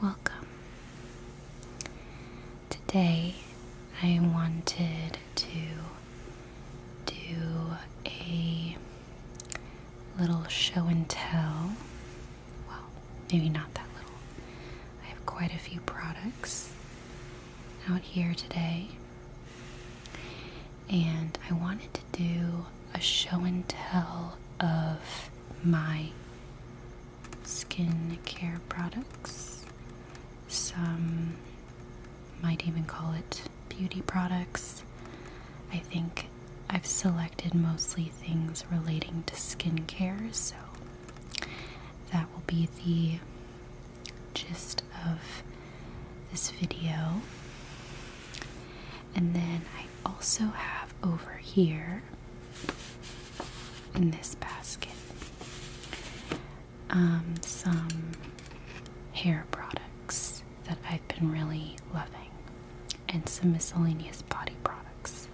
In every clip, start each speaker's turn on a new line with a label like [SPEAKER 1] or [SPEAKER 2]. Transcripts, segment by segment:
[SPEAKER 1] Welcome. Today I wanted to do a little show and tell. Well, maybe not that little. I have quite a few products out here today, and I wanted to do a show and tell of my skincare products. Some might even call it beauty products. I think I've selected mostly things relating to skincare, so that will be the gist of this video. And then I also have over here in this basket um, some hair products that I've been really loving and some miscellaneous body products.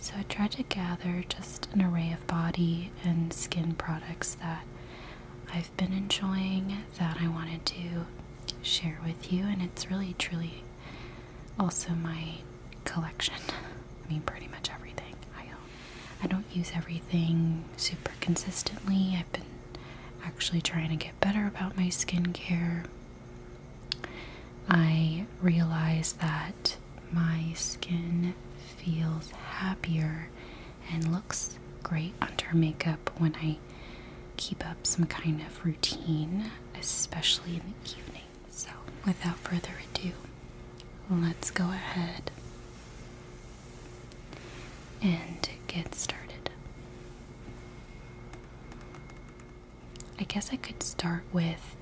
[SPEAKER 1] So I tried to gather just an array of body and skin products that I've been enjoying that I wanted to share with you, and it's really truly also, my collection. I mean, pretty much everything I don't use everything super consistently. I've been actually trying to get better about my skincare. I realize that my skin feels happier and looks great under makeup when I keep up some kind of routine, especially in the evening. So, without further ado, let's go ahead and get started. I guess I could start with,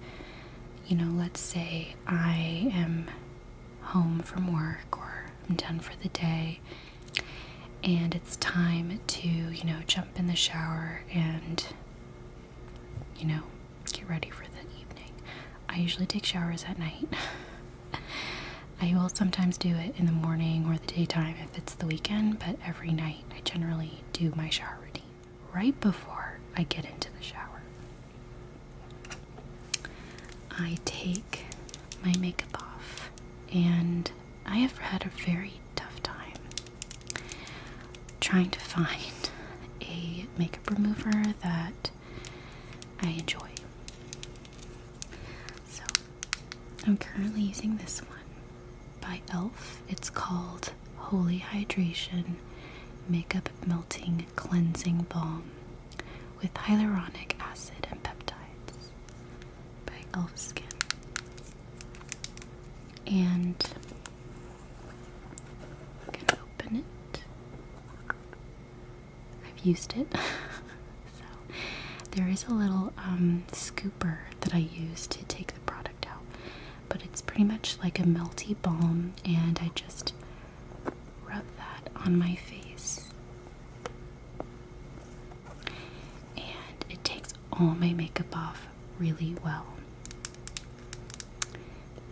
[SPEAKER 1] you know, let's say I am home from work or I'm done for the day and it's time to, you know, jump in the shower and, you know, get ready for the evening. I usually take showers at night. I will sometimes do it in the morning or the daytime if it's the weekend, but every night I generally do my shower routine right before I get into the shower. I take my makeup off and I have had a very tough time trying to find a makeup remover that I enjoy. So I'm currently using this one by e.l.f. It's called Holy Hydration Makeup Melting Cleansing Balm with hyaluronic acid and peptides by e.l.f. Skin and i gonna open it. I've used it. so there is a little um, scooper that I use to take the product out, but it's pretty much like a melty balm, and I just rub that on my face and it takes all my makeup off really well.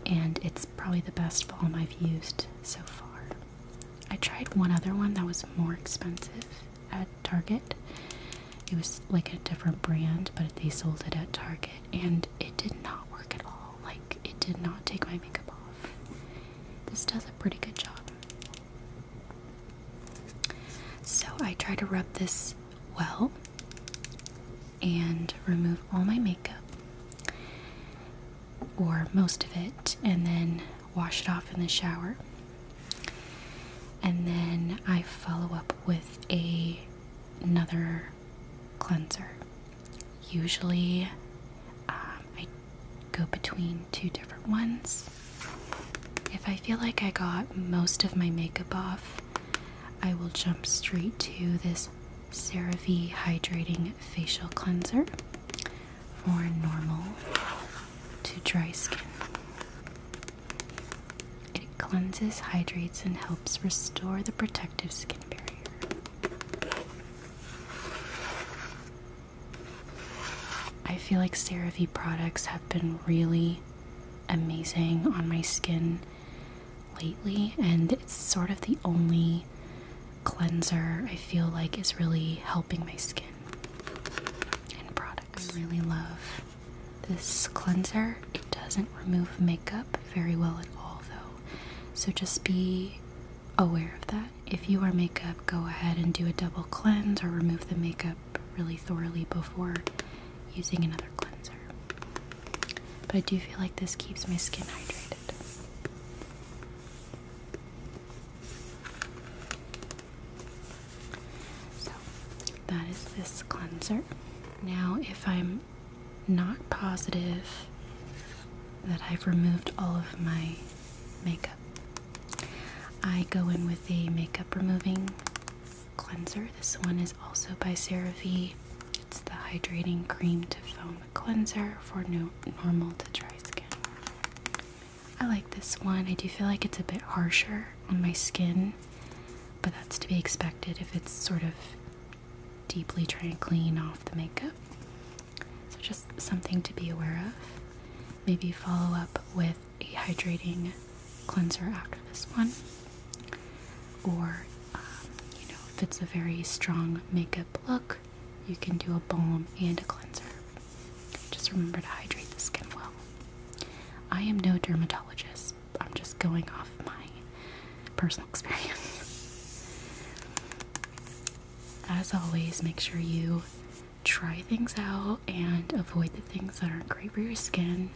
[SPEAKER 1] And it's probably the best foam I've used so far. I tried one other one that was more expensive at Target. It was like a different brand, but they sold it at Target, and it did not work at all. Like, it did not take my makeup off. This does a pretty good job. So I try to rub this well and remove all my makeup or most of it and then wash it off in the shower. And then I follow up with a another cleanser. Usually um, I go between two different ones if I feel like I got most of my makeup off, I will jump straight to this CeraVe Hydrating Facial Cleanser for normal to dry skin. It cleanses, hydrates, and helps restore the protective skin barrier. I feel like CeraVe products have been really amazing on my skin lately, and it's sort of the only cleanser I feel like is really helping my skin and products. I really love this cleanser. It doesn't remove makeup very well at all, though, so just be aware of that. If you wear makeup, go ahead and do a double cleanse or remove the makeup really thoroughly before using another cleanser. But I do feel like this keeps my skin hydrated. So that is this cleanser. Now, if I'm not positive that I've removed all of my makeup, I go in with a makeup removing cleanser. This one is also by CeraVe. It's the hydrating cream to foam cleanser for normal to dry skin. I like this one. I do feel like it's a bit harsher on my skin, but that's to be expected if it's sort of deeply trying to clean off the makeup. So just something to be aware of. Maybe follow up with a hydrating cleanser after this one, or um, you know, if it's a very strong makeup look, you can do a balm and a cleanser. Just remember to hydrate the skin well. I am no dermatologist, I'm just going off my personal experience. As always, make sure you try things out and avoid the things that aren't great for your skin.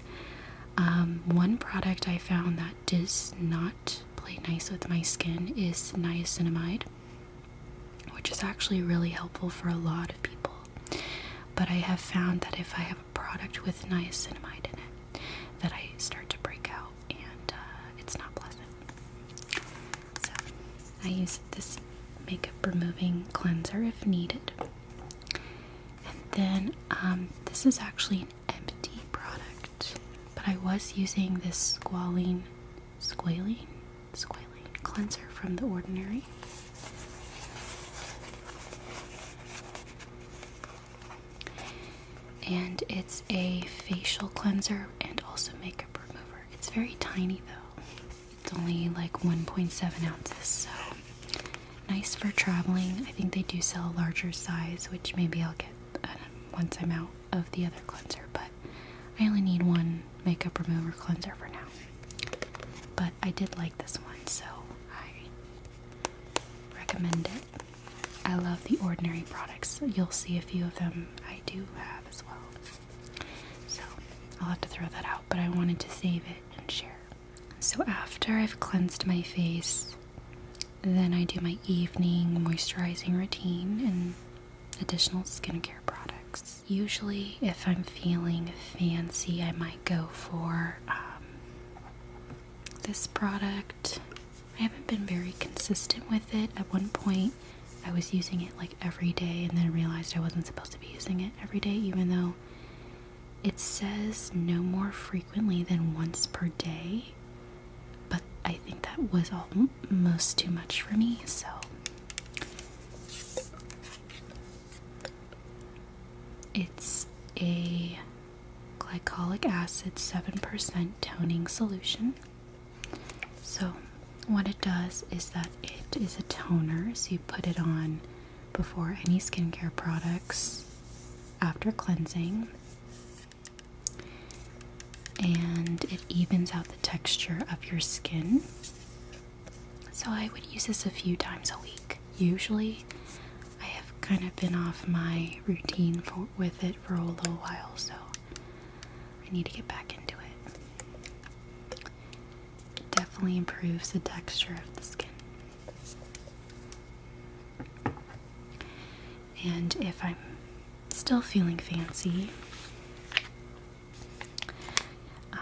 [SPEAKER 1] Um, one product I found that does not play nice with my skin is niacinamide, which is actually really helpful for a lot of people. But I have found that if I have a product with niacinamide in it, that I start to break out and uh, it's not pleasant. I use this makeup removing cleanser if needed. And then um, this is actually an empty product, but I was using this squalene, squalene, squalene cleanser from The Ordinary. And it's a facial cleanser and also makeup remover. It's very tiny though. It's only like 1.7 ounces, so nice for traveling. I think they do sell a larger size, which maybe I'll get uh, once I'm out of the other cleanser, but I only need one makeup remover cleanser for now. But I did like this one, so I recommend it. I love the ordinary products. You'll see a few of them I do have as well. So I'll have to throw that out, but I wanted to save it and share. So after I've cleansed my face, then I do my evening moisturizing routine and additional skincare products. Usually, if I'm feeling fancy, I might go for um, this product. I haven't been very consistent with it. At one point, I was using it like every day and then realized I wasn't supposed to be using it every day, even though it says no more frequently than once per day. But I think that was almost too much for me, so. It's a glycolic acid 7% toning solution. So what it does is that it is a toner, so you put it on before any skincare products after cleansing, and it evens out the texture of your skin. So, I would use this a few times a week. Usually, I have kind of been off my routine with it for a little while, so I need to get back into it. It definitely improves the texture of the skin. And if I'm still feeling fancy, um,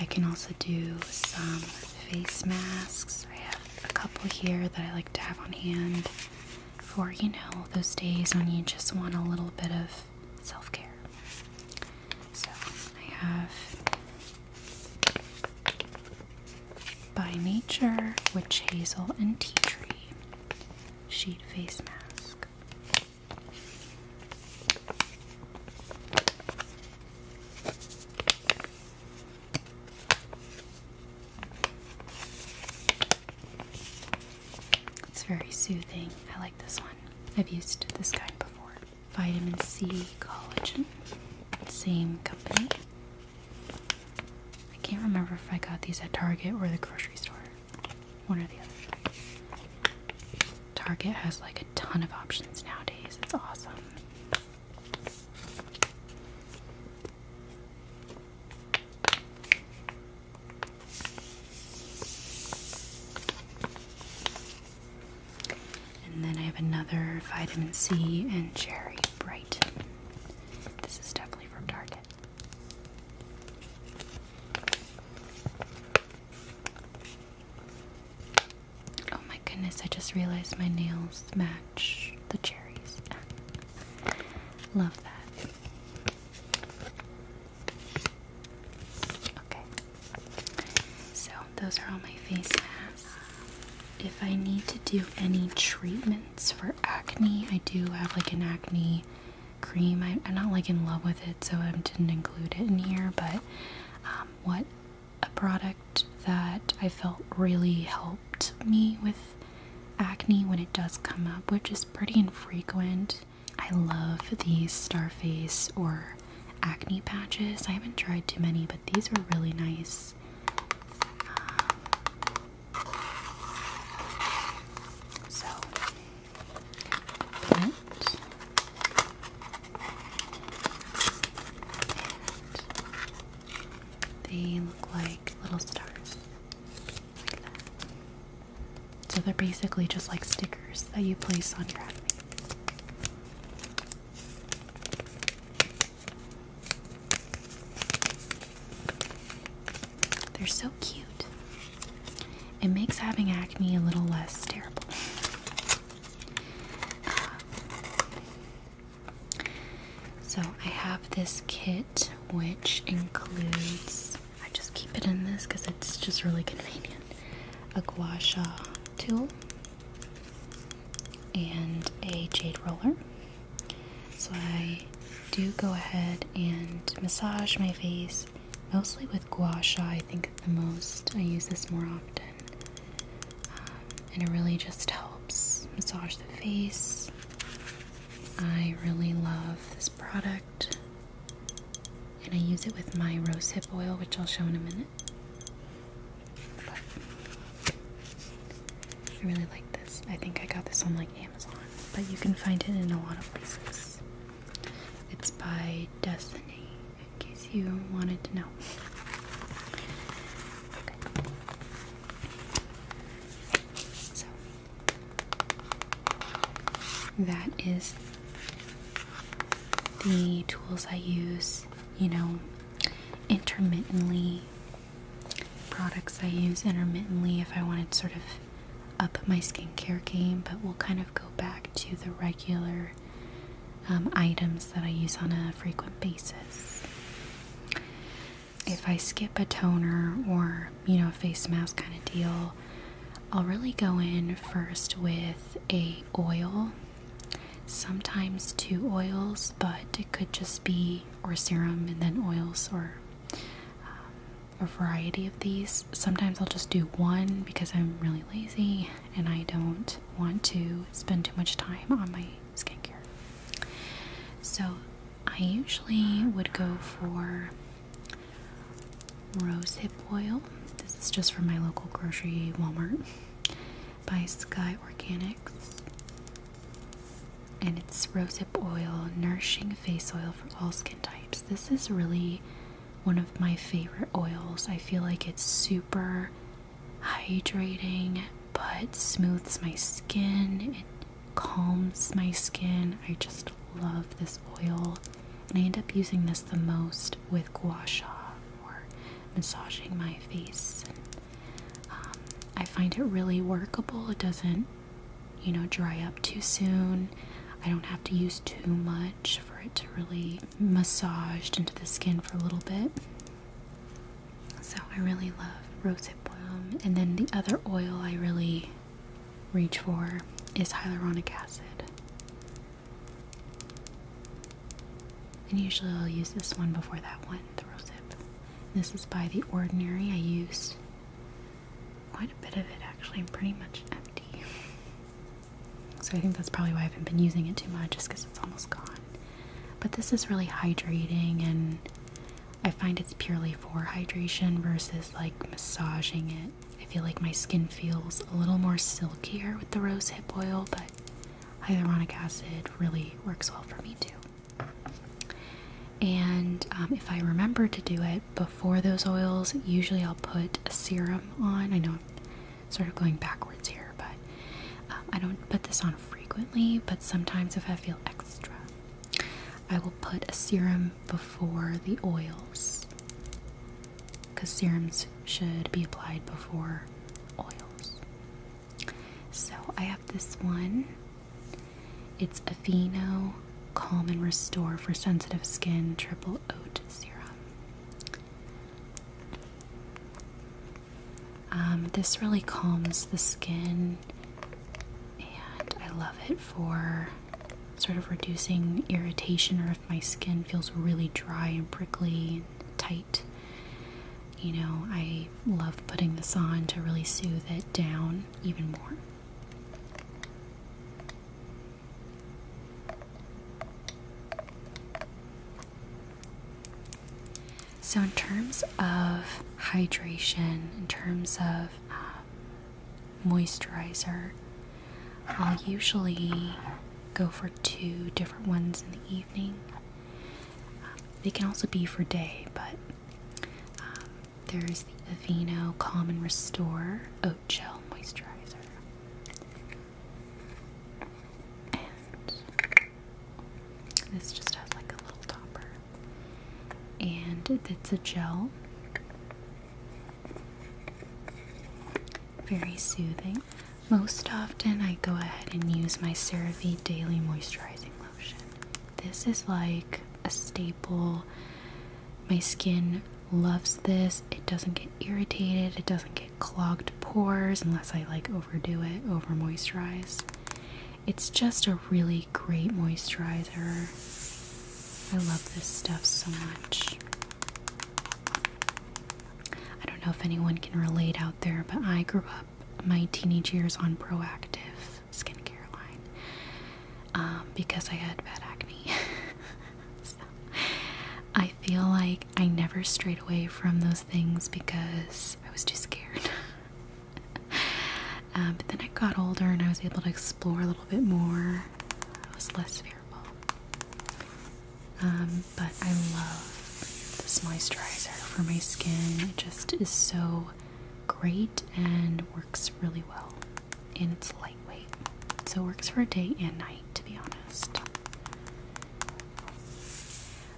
[SPEAKER 1] I can also do some face masks. I have a couple here that I like to have on hand for you know those days when you just want a little bit of self care. So I have By Nature Witch Hazel and Tea Tree Sheet Face Mask. It's very soothing. I like this one. I've used this kind before. Vitamin C collagen. Same company. I can't remember if I got these at Target or the grocery store. One or the other. Target has like a ton of options nowadays. It's awesome. And then I have another vitamin C and cherry bright. This is definitely from Target. Oh my goodness, I just realized my nails match the cherries. Love that. Okay. So those are all my face masks. If I need to do any treatments for acne, I do have like an acne cream. I, am not like in love with it, so I didn't include it in here. But um, what a product that I felt really helped me with acne when it does come up, which is pretty infrequent. I love these Starface or acne patches. I haven't tried too many, but these are really nice. so, they look like little stars. So they're basically just like stickers that you place on your enemy. They're so cute. It makes having acne a little less terrible. so I have this kit which includes I just keep it in this because it's just really convenient. A guasha tool and a jade roller. So I do go ahead and massage my face mostly with guasha. I think the most I use this more often, um, and it really just helps massage the face. I really love this product and I use it with my rosehip oil, which I'll show in a minute. I really like this. I think I got this on like Amazon, but you can find it in a lot of places. It's by Destiny, in case you wanted to know. Okay. So that is the tools I use, you know, intermittently. Products I use intermittently if I wanted sort of up my skincare game, but we'll kind of go back to the regular um, items that I use on a frequent basis. If I skip a toner or you know, face mask kind of deal, I'll really go in first with a oil. Sometimes two oils, but it could just be or serum and then oils or um, a variety of these. Sometimes I'll just do one because I'm really lazy and I don't want to spend too much time on my skincare. So I usually would go for Rosehip oil. This is just from my local grocery Walmart by Sky Organics. And it's rosehip oil, nourishing face oil for all skin types. This is really one of my favorite oils. I feel like it's super hydrating but smooths my skin. It calms my skin. I just love this oil, and I end up using this the most with gua sha or massaging my face. Um, I find it really workable. It doesn't, you know, dry up too soon. I don't have to use too much for it to really massaged into the skin for a little bit. So I really love rosehip balm, and then the other oil I really reach for is hyaluronic acid. And usually I'll use this one before that one, the Rosip. This is by The Ordinary. I use quite a bit of it actually. I'm pretty much empty. so I think that's probably why I haven't been using it too much, just because it's almost gone. But this is really hydrating and I find it's purely for hydration versus like massaging it I feel like my skin feels a little more silkier with the rosehip oil, but hyaluronic acid really works well for me too. And um, if I remember to do it before those oils, usually I'll put a serum on. I know I'm sort of going backwards here, but um, I don't put this on frequently, but sometimes if I feel extra. I will put a serum before the oils because serums should be applied before oils. So I have this one. It's Aveeno Calm and Restore for Sensitive Skin Triple Oat Serum. Um, this really calms the skin, and I love it for sort of reducing irritation or if my skin feels really dry and prickly and tight. You know, I love putting this on to really soothe it down even more. So, in terms of hydration, in terms of um, moisturizer. I'll usually go for two different ones in the evening. they can also be for day, but um, there's the Aveeno Calm and Restore Oat Gel Moisturizer. And this just has like a little topper. And it's a gel. Very soothing. Most often, I go ahead and use my CeraVe Daily Moisturizing Lotion. This is like a staple. My skin loves this. It doesn't get irritated, it doesn't get clogged pores unless I like overdo it, over moisturize. It's just a really great moisturizer. I love this stuff so much. I don't know if anyone can relate out there, but I grew up my teenage years on proactive skincare line um, because I had bad acne. I feel like I never strayed away from those things because I was too scared. Uh, but then I got older and I was able to explore a little bit more. I was less fearful. Um, but I love this moisturizer for my skin. It just is so great and works really well. And it's lightweight. So it works for day and night, to be honest.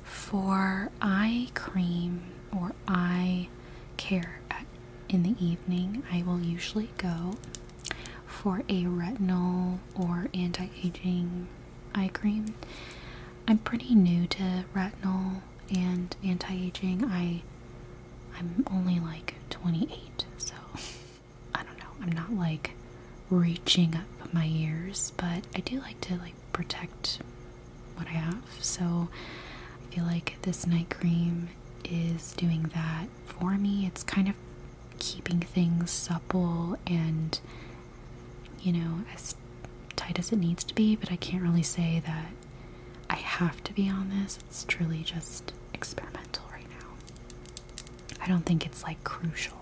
[SPEAKER 1] For eye cream or eye care in the evening, I will usually go for a retinol or anti aging eye cream. I'm pretty new to retinol and anti aging. I I'm only like 28, so I don't know. I'm not like reaching up my years, but I do like to like protect what I have. So I feel like this night cream is doing that for me. It's kind of keeping things supple and, you know, as tight as it needs to be, but I can't really say that I have to be on this. It's truly just experimental right now. I don't think it's like crucial,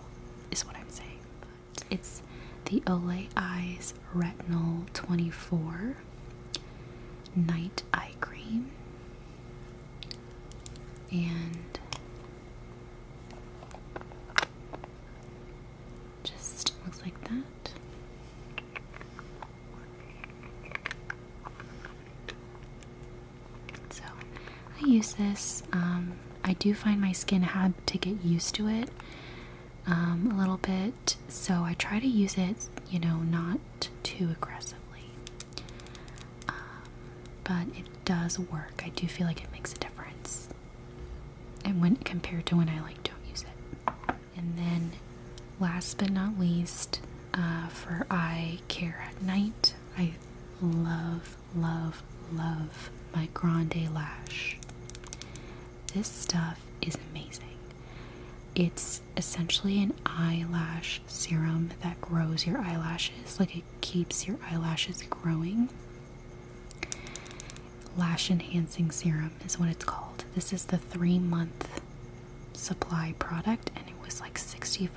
[SPEAKER 1] is what I'm saying. But it's the Olay Eyes Retinol 24 Night Eye Cream and just looks like that. So I use this. Um, I do find my skin had to get used to it um, a little bit, so I try to use it, you know, not too aggressively. Um, but it does work. I do feel like it makes a difference. And when compared to when I like don't use it. And then last but not least, uh, for eye care at night, I love, love, love my Grande Lash. This stuff is amazing. It's essentially an eyelash serum that grows your eyelashes, like it keeps your eyelashes growing. Lash enhancing serum is what it's called. This is the three month supply product, and it was like $65.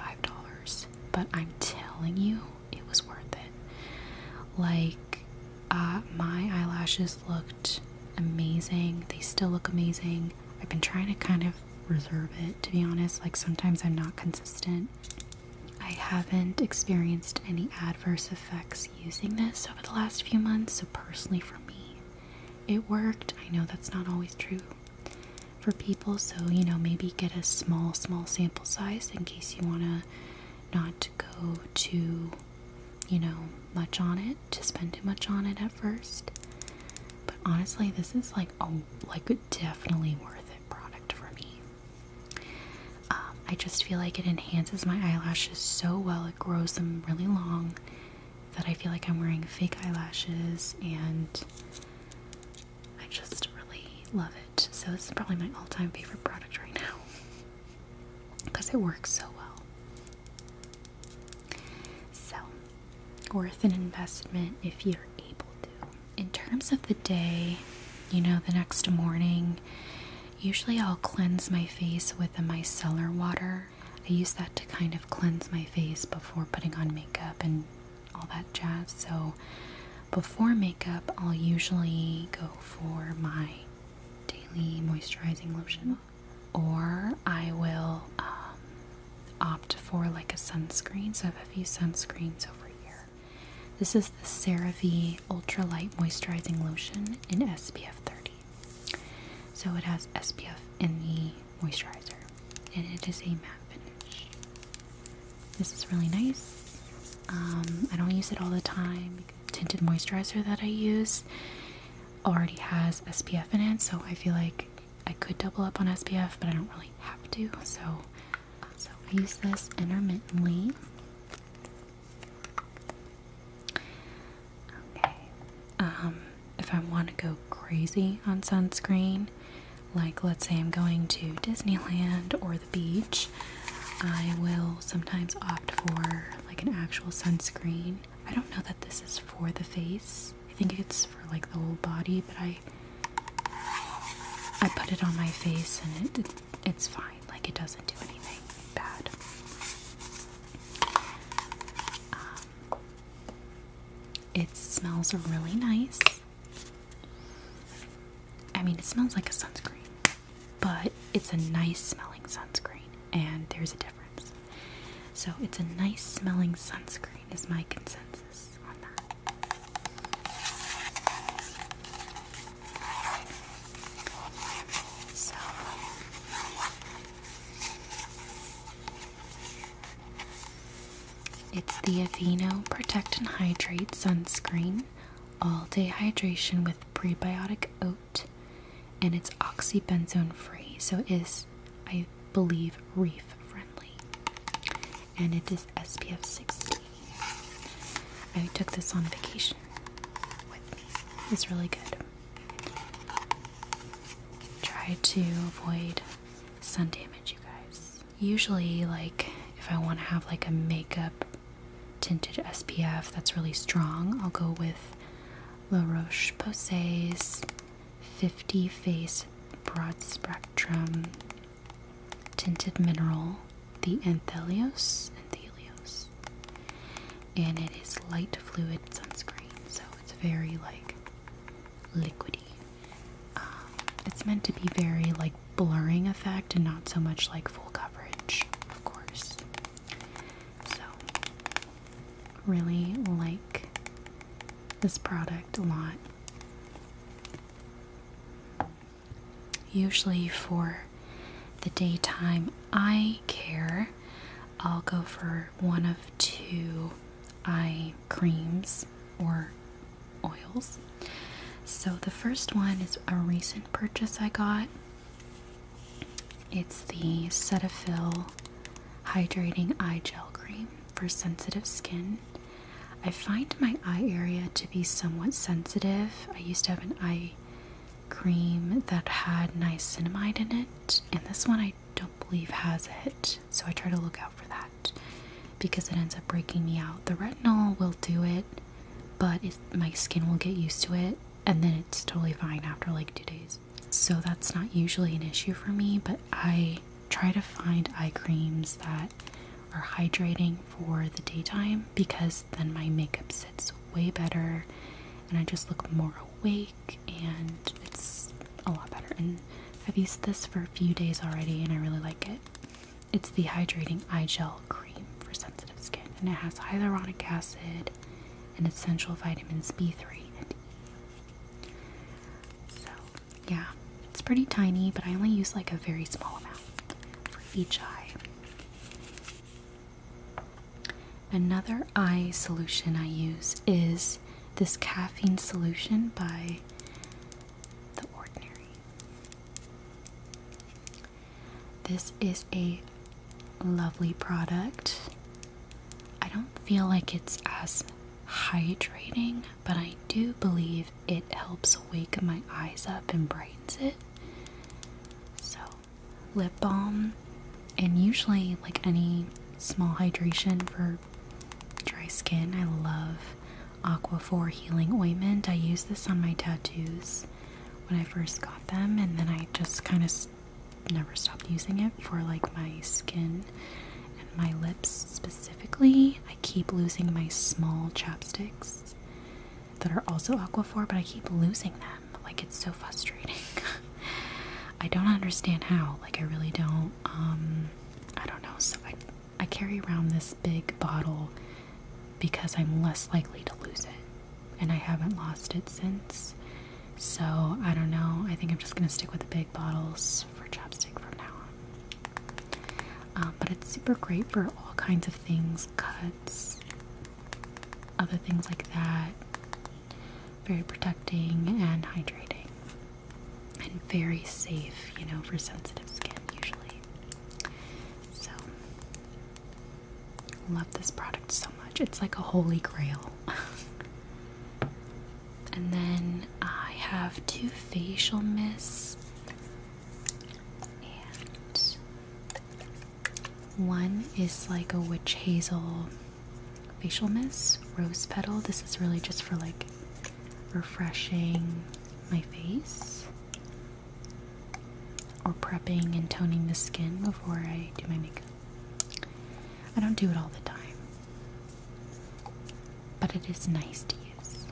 [SPEAKER 1] But I'm telling you, it was worth it. Like, uh, my eyelashes looked amazing, they still look amazing. I've been trying to kind of reserve it to be honest. Like sometimes I'm not consistent. I haven't experienced any adverse effects using this over the last few months, so personally for me, it worked. I know that's not always true for people, so you know, maybe get a small, small sample size in case you want to not go too, you know, much on it to spend too much on it at first. But honestly, this is like a like definitely worth it product for me. Um, I just feel like it enhances my eyelashes so well. It grows them really long that I feel like I'm wearing fake eyelashes, and I just really love it. So this is probably my all-time favorite product right now because it works so well. So, worth an investment if you're able to. In terms of the day, you know, the next morning, usually I'll cleanse my face with a micellar water. I use that to kind of cleanse my face before putting on makeup and all that jazz. So, before makeup, I'll usually go for my daily moisturizing lotion or I will um, opt for like a sunscreen. So I have a few sunscreens over here. This is the CeraVe Ultra Light Moisturizing Lotion in SPF 30. So it has SPF in the moisturizer, and it is a matte finish. This is really nice. Um, I don't use it all the time. Tinted moisturizer that I use already has SPF in it, so I feel like I could double up on SPF, but I don't really have to. So, so I use this intermittently. Okay. Um, if I want to go crazy on sunscreen, like let's say I'm going to Disneyland or the beach, I will sometimes opt for like an actual sunscreen I don't know that this is for the face. I think it's for like the whole body, but I I put it on my face and it, it's fine. Like it doesn't do anything bad. Um, it smells really nice. I mean, it smells like a sunscreen, but it's a nice smelling sunscreen, and there's a difference. So it's a nice smelling sunscreen, is my consensus on that. So it's the Aveeno Protect and Hydrate Sunscreen All Day Hydration with Prebiotic Oat and it's oxybenzone free, so it is, I believe, reef friendly. And it is SPF 60. I took this on vacation It's really good. Try to avoid sun damage, you guys. Usually, like, if I want to have like a makeup tinted SPF that's really strong, I'll go with La Roche Posay's 50 face broad spectrum tinted mineral, the Anthelios. Anthelios. And it is light fluid sunscreen, so it's very like liquidy. Um, it's meant to be very like blurring effect and not so much like full coverage, of course. So, really like this product a lot. Usually for the daytime I care, I'll go for one of two eye creams or oils. So the first one is a recent purchase I got. It's the Cetaphil Hydrating Eye Gel Cream for sensitive skin. I find my eye area to be somewhat sensitive. I used to have an eye cream that had niacinamide in it, and this one I don't believe has it, so I try to look out for that because it ends up breaking me out. The retinol will do it, but my skin will get used to it, and then it's totally fine after like two days so that's not usually an issue for me, but I try to find eye creams that are hydrating for the daytime because then my makeup sits way better and I just look more awake and it's a lot better. And I've used this for a few days already and I really like it. It's the hydrating eye gel cream for sensitive skin and it has hyaluronic acid and essential vitamins B3 and E, so, yeah, it's pretty tiny, but I only use like a very small amount for each eye. Another eye solution I use is this caffeine solution by The Ordinary. This is a lovely product. I don't feel like it's as hydrating, but I do believe it helps wake my eyes up and brightens it. So, lip balm, and usually, like any small hydration for dry skin, I love aqua Aquaphor Healing Ointment. I use this on my tattoos when I first got them, and then I just kind of never stopped using it for like my skin and my lips specifically. I keep losing my small chapsticks that are also aqua Aquaphor, but I keep losing them. Like it's so frustrating. I don't understand how. Like I really don't. Um, I don't know. So I I carry around this big bottle because I'm less likely to lose it, and I haven't lost it since. So I don't know. I think I'm just gonna stick with the big bottles for chapstick from now on. Um, but it's super great for all kinds of things, cuts, other things like that. Very protecting and hydrating, and very safe, you know, for sensitive skin usually. So love this product so much. It's like a holy grail. And then I have two facial mists and one is like a witch hazel facial mist, rose petal. This is really just for like refreshing my face or prepping and toning the skin before I do my makeup. I don't do it all the time. But it is nice to use.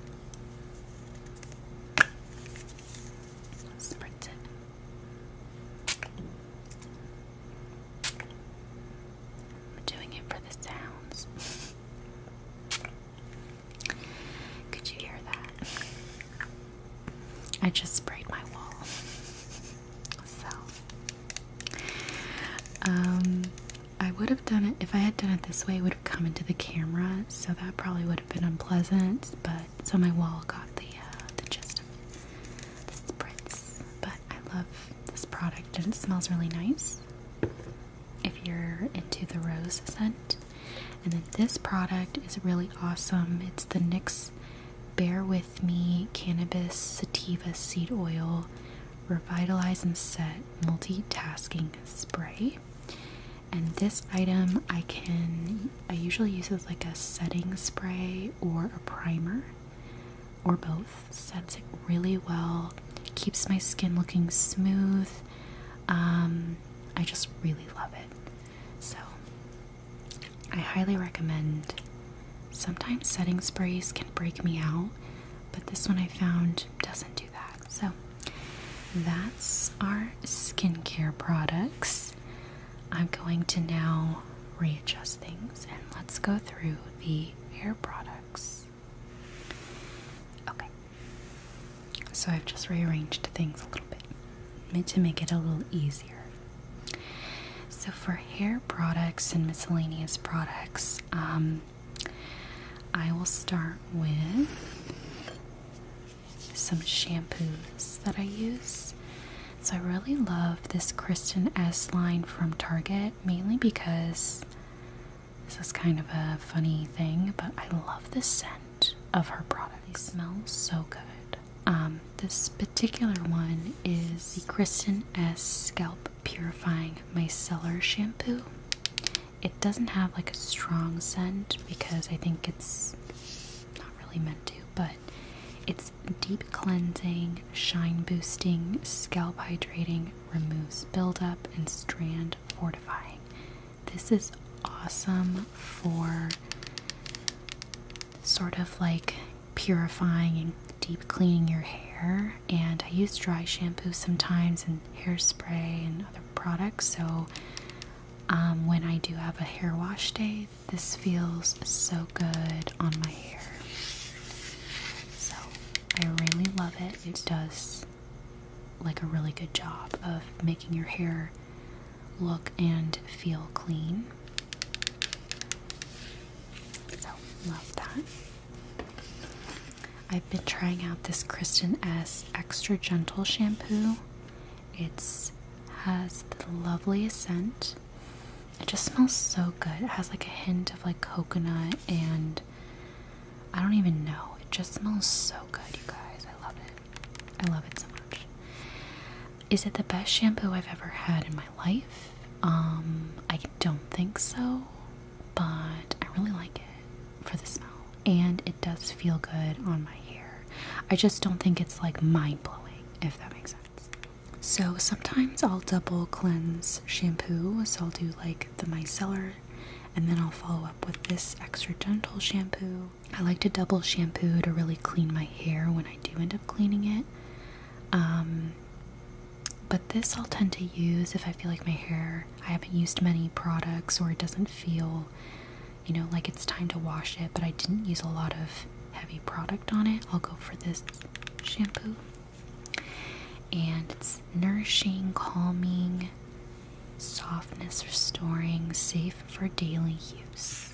[SPEAKER 1] Spritz it. I'm doing it for the sounds. Could you hear that? I just sprayed my wall. So, um, I would have done it if I had done it this way, it would have come into the camera, so that probably would have been unpleasant. But so my wall got the uh, the gist of the spritz. But I love this product, and it smells really nice. If you're into the rose scent, and then this product is really awesome. It's the NYX With me cannabis sativa seed oil revitalize and set multitasking spray and this item i can i usually use as like a setting spray or a primer or both sets it really well keeps my skin looking smooth um, i just really love it so I highly recommend. Sometimes setting sprays can break me out, but this one I found doesn't do that. So that's our skincare products. I'm going to now readjust things and let's go through the hair products. Okay, so I've just rearranged things a little bit to make it a little easier. So, for hair products and miscellaneous products, um, I will start with some shampoos that I use. So, I really love this Kristen S line from Target, mainly because this is kind of a funny thing, but I love the scent of her products. They smell so good. Um, this particular one is the Kristen S Scalp Purifying Micellar Shampoo. It doesn't have like a strong scent because I think it's not really meant to, but it's deep cleansing, shine boosting, scalp hydrating, removes buildup, and strand fortifying. This is awesome for sort of like purifying deep cleaning your hair, and I use dry shampoo sometimes and hairspray and other products. So um, when I do have a hair wash day, this feels so good on my hair. So I really love it. It does like a really good job of making your hair look and feel clean. So, love that. I've been trying out this Kristen S Extra Gentle shampoo. It's has the loveliest scent. It just smells so good. It has like a hint of like coconut and I don't even know. It just smells so good, you guys. I love it. I love it so much. Is it the best shampoo I've ever had in my life? Um, I don't think so, but I really like it for the smell. And it does feel good on my hair. I just don't think it's like mind blowing, if that makes sense. So sometimes I'll double cleanse shampoo. So I'll do like the micellar and then I'll follow up with this extra gentle shampoo. I like to double shampoo to really clean my hair when I do end up cleaning it. Um, but this I'll tend to use if I feel like my hair, I haven't used many products or it doesn't feel, you know, like it's time to wash it, but I didn't use a lot of heavy product on it. I'll go for this shampoo. And it's nourishing, calming, softness restoring, safe for daily use.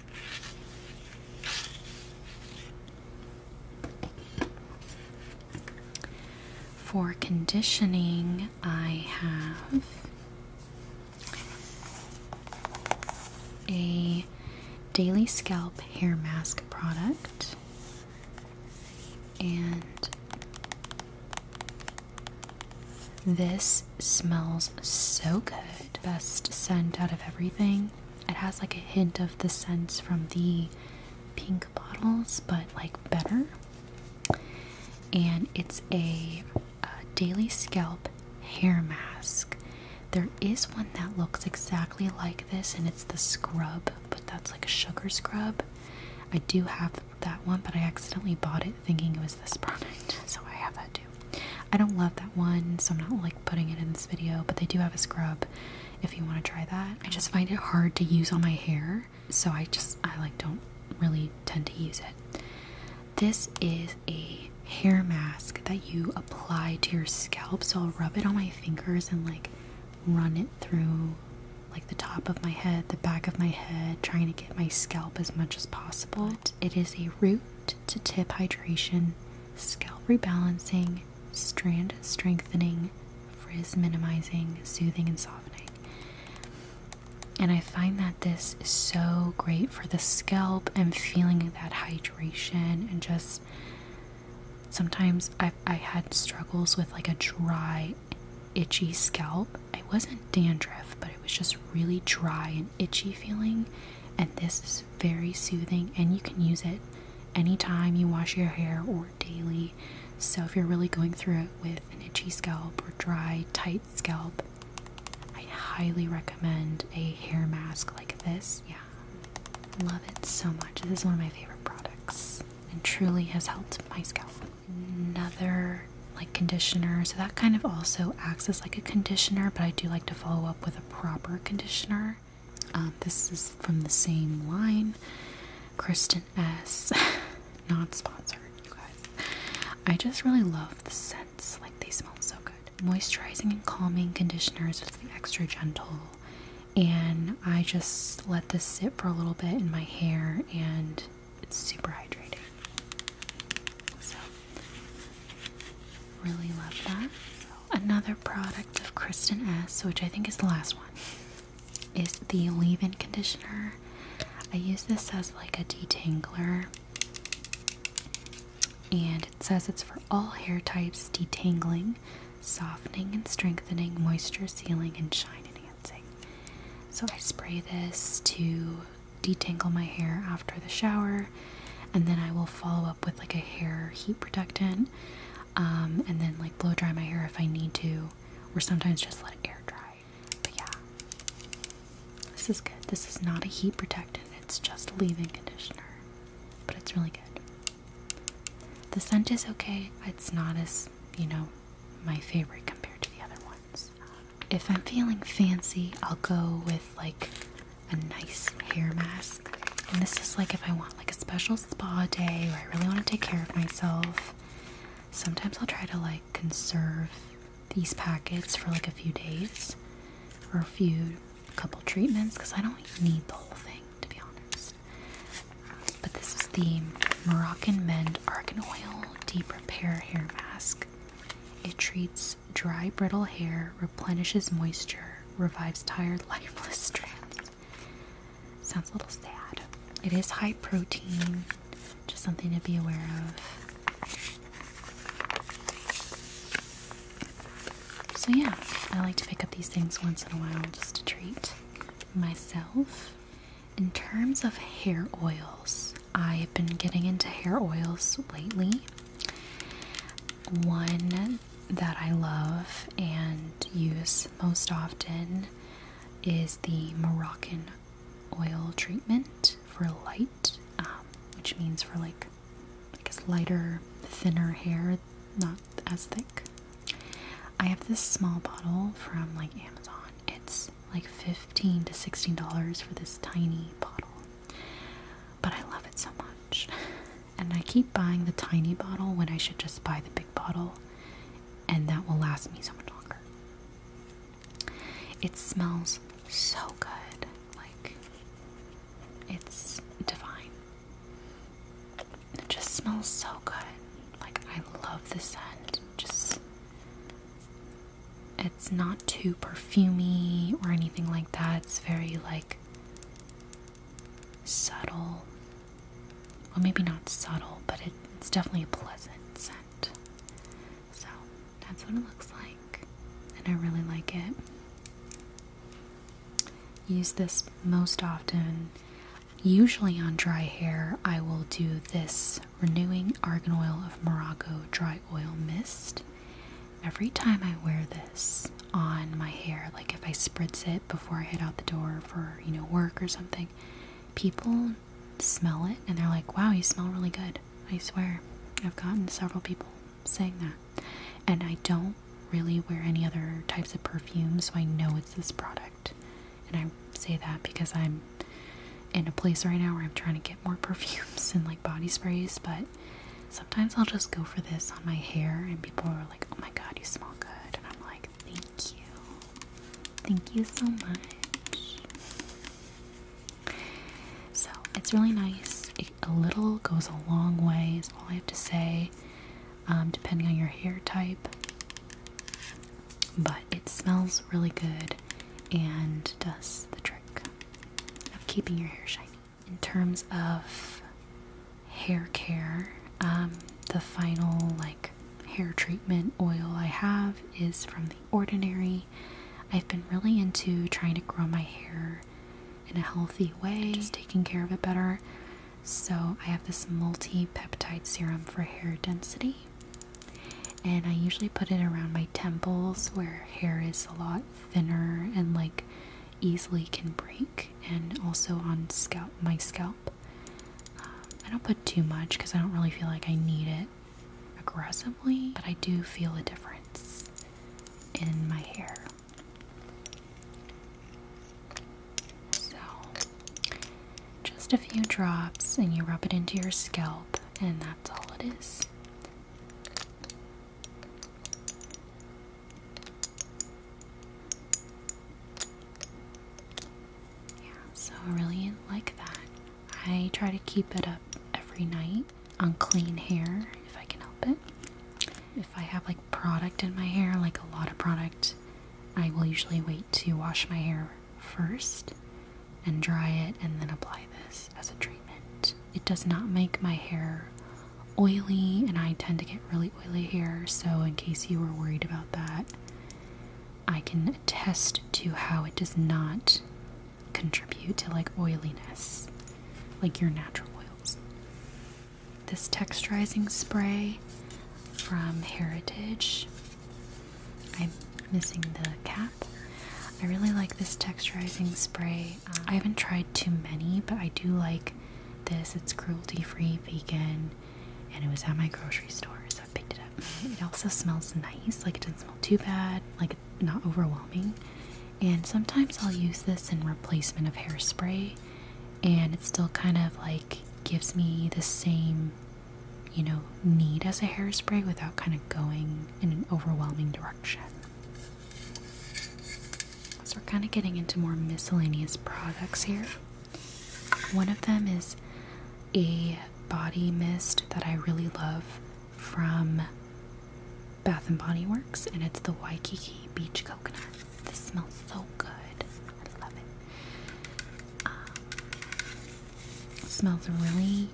[SPEAKER 1] For conditioning, I have a daily scalp hair mask product and this smells so good. Best scent out of everything. It has like a hint of the scents from the pink bottles, but like better. And it's a uh, daily scalp hair mask. There is one that looks exactly like this, and it's the scrub, but that's like a sugar scrub. I do have that one, but I accidentally bought it thinking it was this product, so I have that too. I don't love that one, so I'm not like putting it in this video, but they do have a scrub if you want to try that. I just find it hard to use on my hair, so I just I like don't really tend to use it. This is a hair mask that you apply to your scalp, so I'll rub it on my fingers and like run it through like the top of my head, the back of my head, trying to get my scalp as much as possible. It is a root to tip hydration, scalp rebalancing, strand strengthening, frizz minimizing, soothing, and softening. And I find that this is so great for the scalp. I'm feeling that hydration and just sometimes I've, I had struggles with like a dry, itchy scalp. It wasn't dandruff, but it was just really dry and itchy feeling. And this very soothing and you can use it anytime you wash your hair or daily. So, if you're really going through it with an itchy scalp or dry, tight scalp, I highly recommend a hair mask like this. Yeah, love it so much. This is one of my favorite products and truly has helped my scalp. Another like conditioner, so that kind of also acts as like a conditioner, but I do like to follow up with a proper conditioner. Uh, this is from the same line. Kristen S. Not sponsored, you guys. I just really love the scents. Like, they smell so good. Moisturizing and calming conditioners with the extra gentle. And I just let this sit for a little bit in my hair, and it's super hydrating. Really love that. Another product of Kristen S, which I think is the last one, is the leave-in conditioner. I use this as like a detangler. And it says it's for all hair types, detangling, softening and strengthening, moisture sealing, and shine enhancing. So I spray this to detangle my hair after the shower and then I will follow up with like a hair heat protectant um, and then like blow dry my hair if I need to or sometimes just let it air dry but yeah this is good this is not a heat protectant it's just a leave-in conditioner but it's really good the scent is okay it's not as you know my favorite compared to the other ones if I'm feeling fancy I'll go with like a nice hair mask. And this is like if I want like a special spa day or I really want to take care of myself. Sometimes I'll try to like conserve these packets for like a few days or a few a couple treatments because I don't need the whole thing to be honest. But this is the Moroccan Mend Argan Oil Deep Repair Hair Mask. It treats dry, brittle hair replenishes moisture, revives tired, lifeless strands. Sounds a little sad. It is high protein, just something to be aware of. So, yeah, I like to pick up these things once in a while just to treat myself. In terms of hair oils, I've been getting into hair oils lately. One that I love and use most often is the Moroccan oil treatment for light, um, which means for like, I guess, lighter, thinner hair, not as thick. I have this small bottle from like Amazon. It's like 15 to 16 dollars for this tiny bottle. But I love it so much. and I keep buying the tiny bottle when I should just buy the big bottle, and that will last me so much longer. It smells so good, like it's divine. It just smells so good. Like I love the scent. Just it's not too perfumy or anything like that. It's very like subtle. Well, maybe not subtle, but it's definitely a pleasant scent. So that's what it looks like, and I really like it. Use this most often. Usually on dry hair, I will do this Renewing Argan Oil of Morocco Dry Oil Mist every time I wear this on my hair, like if I spritz it before I head out the door for, you know, work or something, people smell it and they're like, wow, you smell really good. I swear. I've gotten several people saying that. And I don't really wear any other types of perfumes, so I know it's this product. And I say that because I'm in a place right now where I'm trying to get more perfumes and like body sprays, but Sometimes I'll just go for this on my hair, and people are like, oh my god, you smell good. And I'm like, thank you. Thank you so much. So it's really nice. a little goes a long way, is all I have to say, um, depending on your hair type. But it smells really good and does the trick of keeping your hair shiny in terms of hair care, um, the final like hair treatment oil I have is from The Ordinary. I've been really into trying to grow my hair in a healthy way, just taking care of it better. So, I have this multi peptide serum for hair density, and I usually put it around my temples where hair is a lot thinner and like easily can break, and also on scalp my scalp. Um, I don't put too much because I don't really feel like I need it aggressively, but I do feel a difference in my hair. So, just a few drops, and you rub it into your scalp, and that's all it is. Yeah, so I really like that. I try to keep it up every night on clean hair if I can help it. If I have like product in my hair, like a lot of product, I will usually wait to wash my hair first and dry it and then apply this as a treatment it does not make my hair oily, and I tend to get really oily hair. So, in case you were worried about that, I can attest to how it does not contribute to like oiliness, like your natural oils. This texturizing spray from Heritage. I'm missing the cap. I really like this texturizing spray um, I haven't tried too many, but I do like this. It's cruelty free, vegan, and it was at my grocery store, so I picked it up. It also smells nice, like it doesn't smell too bad, like not overwhelming. And sometimes I'll use this in replacement of hairspray, and it still kind of like gives me the same, you know, need as a hairspray without kind of going in an overwhelming direction. So we're kind of getting into more miscellaneous products here. One of them is a body mist that I really love from Bath and Body Works, and it's the Waikiki Beach Coconut. This smells so good. I love it. Um, smells really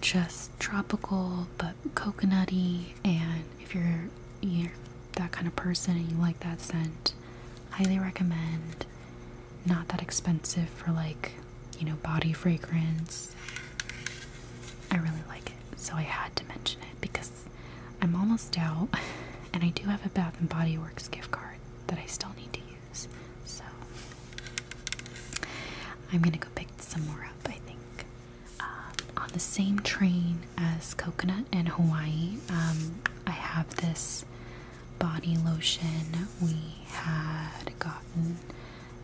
[SPEAKER 1] just tropical but coconutty and if you're that kind of person and you like that scent, highly recommend. Not that expensive for like, you know, body fragrance. I really like it, so I had to mention it because I'm almost out and I do have a Bath and Body Works gift card that I still need to use. So I'm gonna go pick some more up, I think. Um, on the same train as coconut in Hawaii. Um, I have this body lotion we had gotten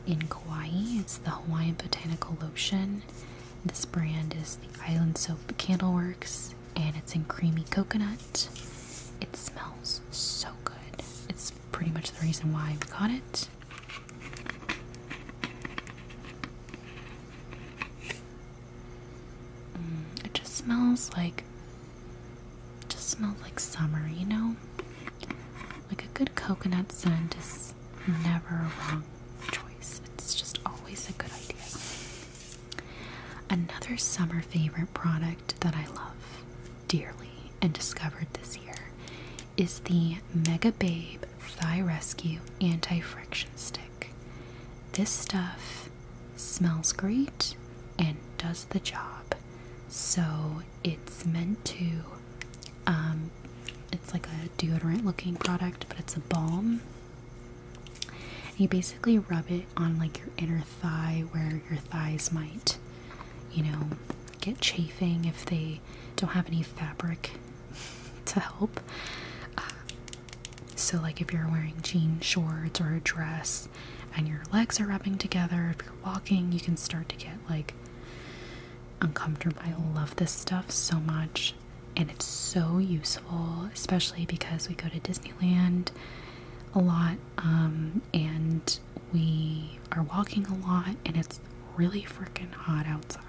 [SPEAKER 1] in Kauai. It's the Hawaiian Botanical Lotion. This brand is the Island Soap Candleworks and it's in creamy coconut. It smells so good. It's pretty much the reason why we got it. Mm, it just smells like just smells like summer, you know? Like a good coconut scent is never a wrong choice. It's just always a good idea. Another summer favorite product that I love dearly and discovered this year is the Mega Babe Thigh Rescue Anti Friction Stick. This stuff smells great and does the job. So it's meant to, um, it's like a deodorant looking product, but it's a balm. you basically rub it on like your inner thigh where your thighs might, you know, get chafing if they don't have any fabric to help. Uh, so, like if you're wearing jean shorts or a dress and your legs are rubbing together, if you're walking, you can start to get like uncomfortable. I love this stuff so much, and it's so useful, especially because we go to Disneyland a lot um, and we are walking a lot, and it's really freaking hot outside.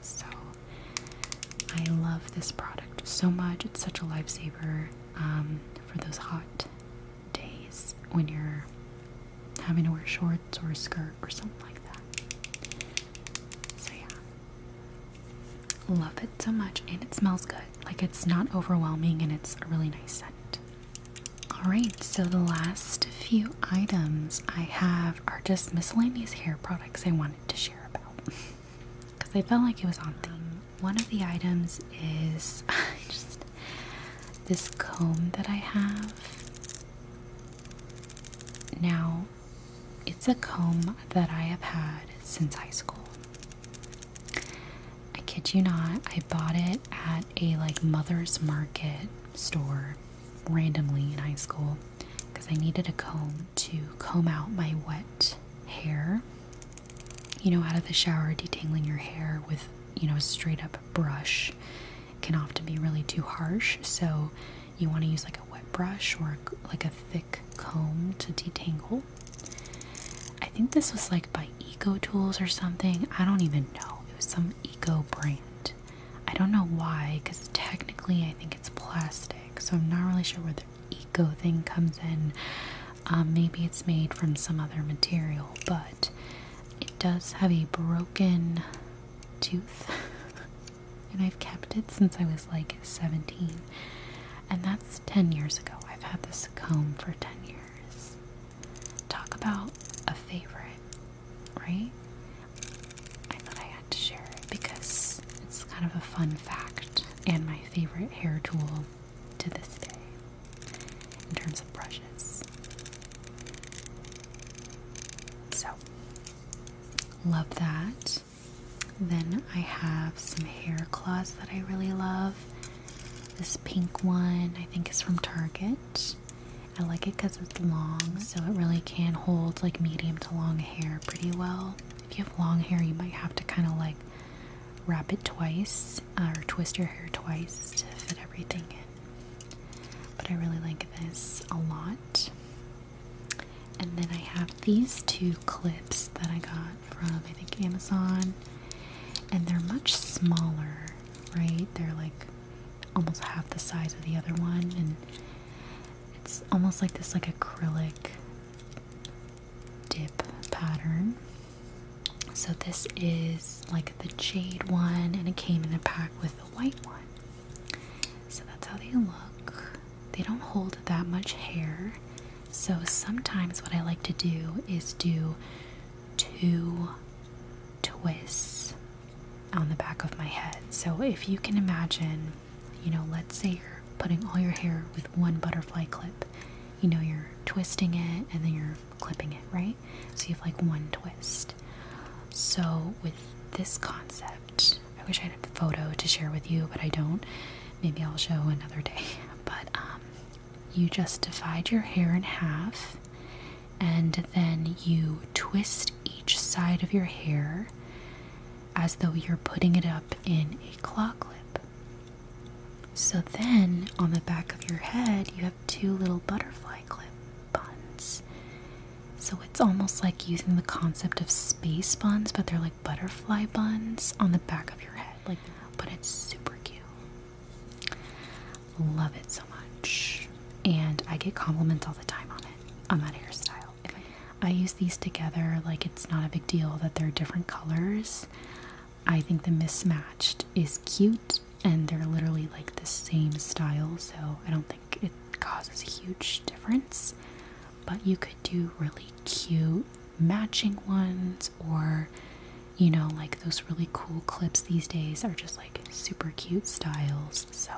[SPEAKER 1] So, I love this product so much. It's such a lifesaver um, for those hot days when you're having to wear shorts or a skirt or something like that. So, yeah. Love it so much. And it smells good. Like, it's not overwhelming and it's a really nice scent. Alright, so the last few items I have are just miscellaneous hair products I wanted to share about because I felt like it was on theme. One of the items is just this comb that I have. Now, it's a comb that I have had since high school. I kid you not, I bought it at a like mother's market store randomly in high school because I needed a comb to comb out my wet hair. You know, out of the shower, detangling your hair with, you know, a straight up brush can often be really too harsh. So you want to use like a wet brush or like a thick comb to detangle. I think this was like by Eco Tools or something. I don't even know. It was some eco brand. I don't know why, because technically I think it's plastic, so I'm not really sure where the eco thing comes in. Um, maybe it's made from some other material, but it does have a broken tooth, and I've kept it since I was like 17, and that's 10 years ago. I've had this comb for 10 years. Talk about a favorite right? I thought I had to share it because it's kind of a fun fact and my favorite hair tool to this day in terms of brushes. So, love that. Then I have some hair cloths that I really love. This pink one, I think, is from Target. I like it because it's long, so it really can hold like medium to long hair pretty well. If you have long hair, you might have to kind of like wrap it twice uh, or twist your hair twice to fit everything in. But I really like this a lot. And then I have these two clips that I got from I think Amazon, and they're much smaller, right? They're like almost half the size of the other one and it's almost like this like acrylic dip pattern so this is like the jade one and it came in a pack with the white one so that's how they look they don't hold that much hair so sometimes what i like to do is do two twists on the back of my head. So if you can imagine, you know, let's say you're putting all your hair with one butterfly clip. You know, you're twisting it and then you're clipping it, right? So you have like one twist. So with this concept, I wish I had a photo to share with you, but I don't. Maybe I'll show another day. But um, you just divide your hair in half and then you twist each side of your hair as though you're putting it up in a claw clip. So then on the back of your head, you have two little butterfly clip buns. So it's almost like using the concept of space buns, but they're like butterfly buns on the back of your head. Like, but it's super cute. Love it so much and I get compliments all the time on it, on that hairstyle. I use these together, like it's not a big deal that they're different colors. I think the mismatched is cute, and they're literally like the same style, so I don't think it causes a huge difference. But you could do really cute matching ones, or you know, like those really cool clips these days are just like super cute styles. So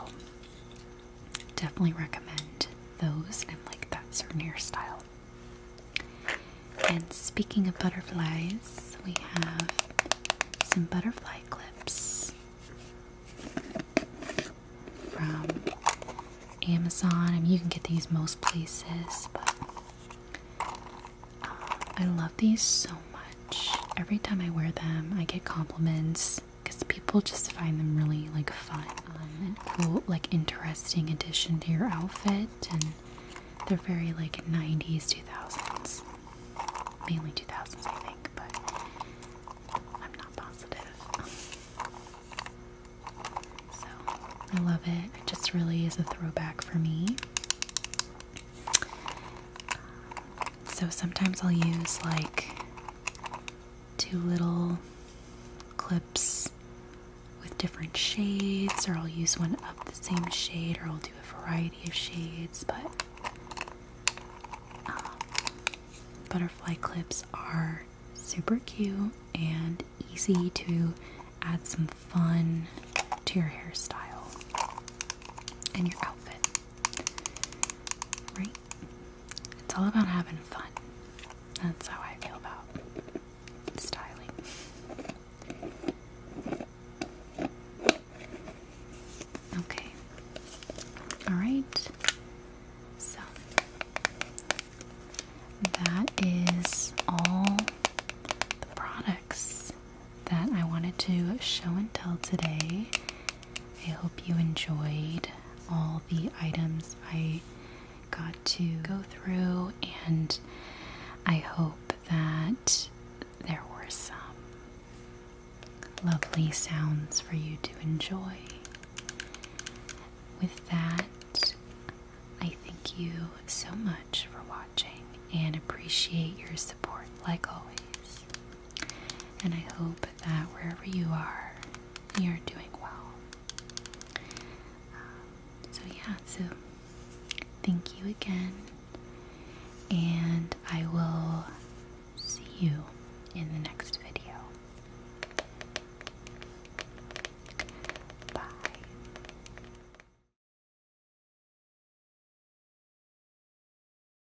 [SPEAKER 1] Definitely recommend those and like that souvenir style. And speaking of butterflies, we have some butterfly clips from Amazon. I mean, you can get these most places, but um, I love these so much. Every time I wear them, I get compliments because people just find them really like fun um, and cool, like interesting addition to your outfit, and they're very like '90s, 2000s, mainly 2000s, I think, but I'm not positive. So I love it. It just really is a throwback for me. So sometimes I'll use like two little clips with different shades, or I'll use one of the same shade, or I'll do a variety of shades. But um, butterfly clips are super cute and easy to add some fun to your hairstyle and your outfit. Right? It's all about having fun. That's how I feel about styling. Okay. Alright. So that is all the products that I wanted to show and tell today. I hope you enjoyed all the items I got to go through, and I hope that there were some lovely sounds for you to enjoy. With that, I thank you so much for watching and appreciate your support like always. And I hope that wherever you are, you're doing well. Um, so, yeah, so thank you again. And I will see you in the next video. Bye.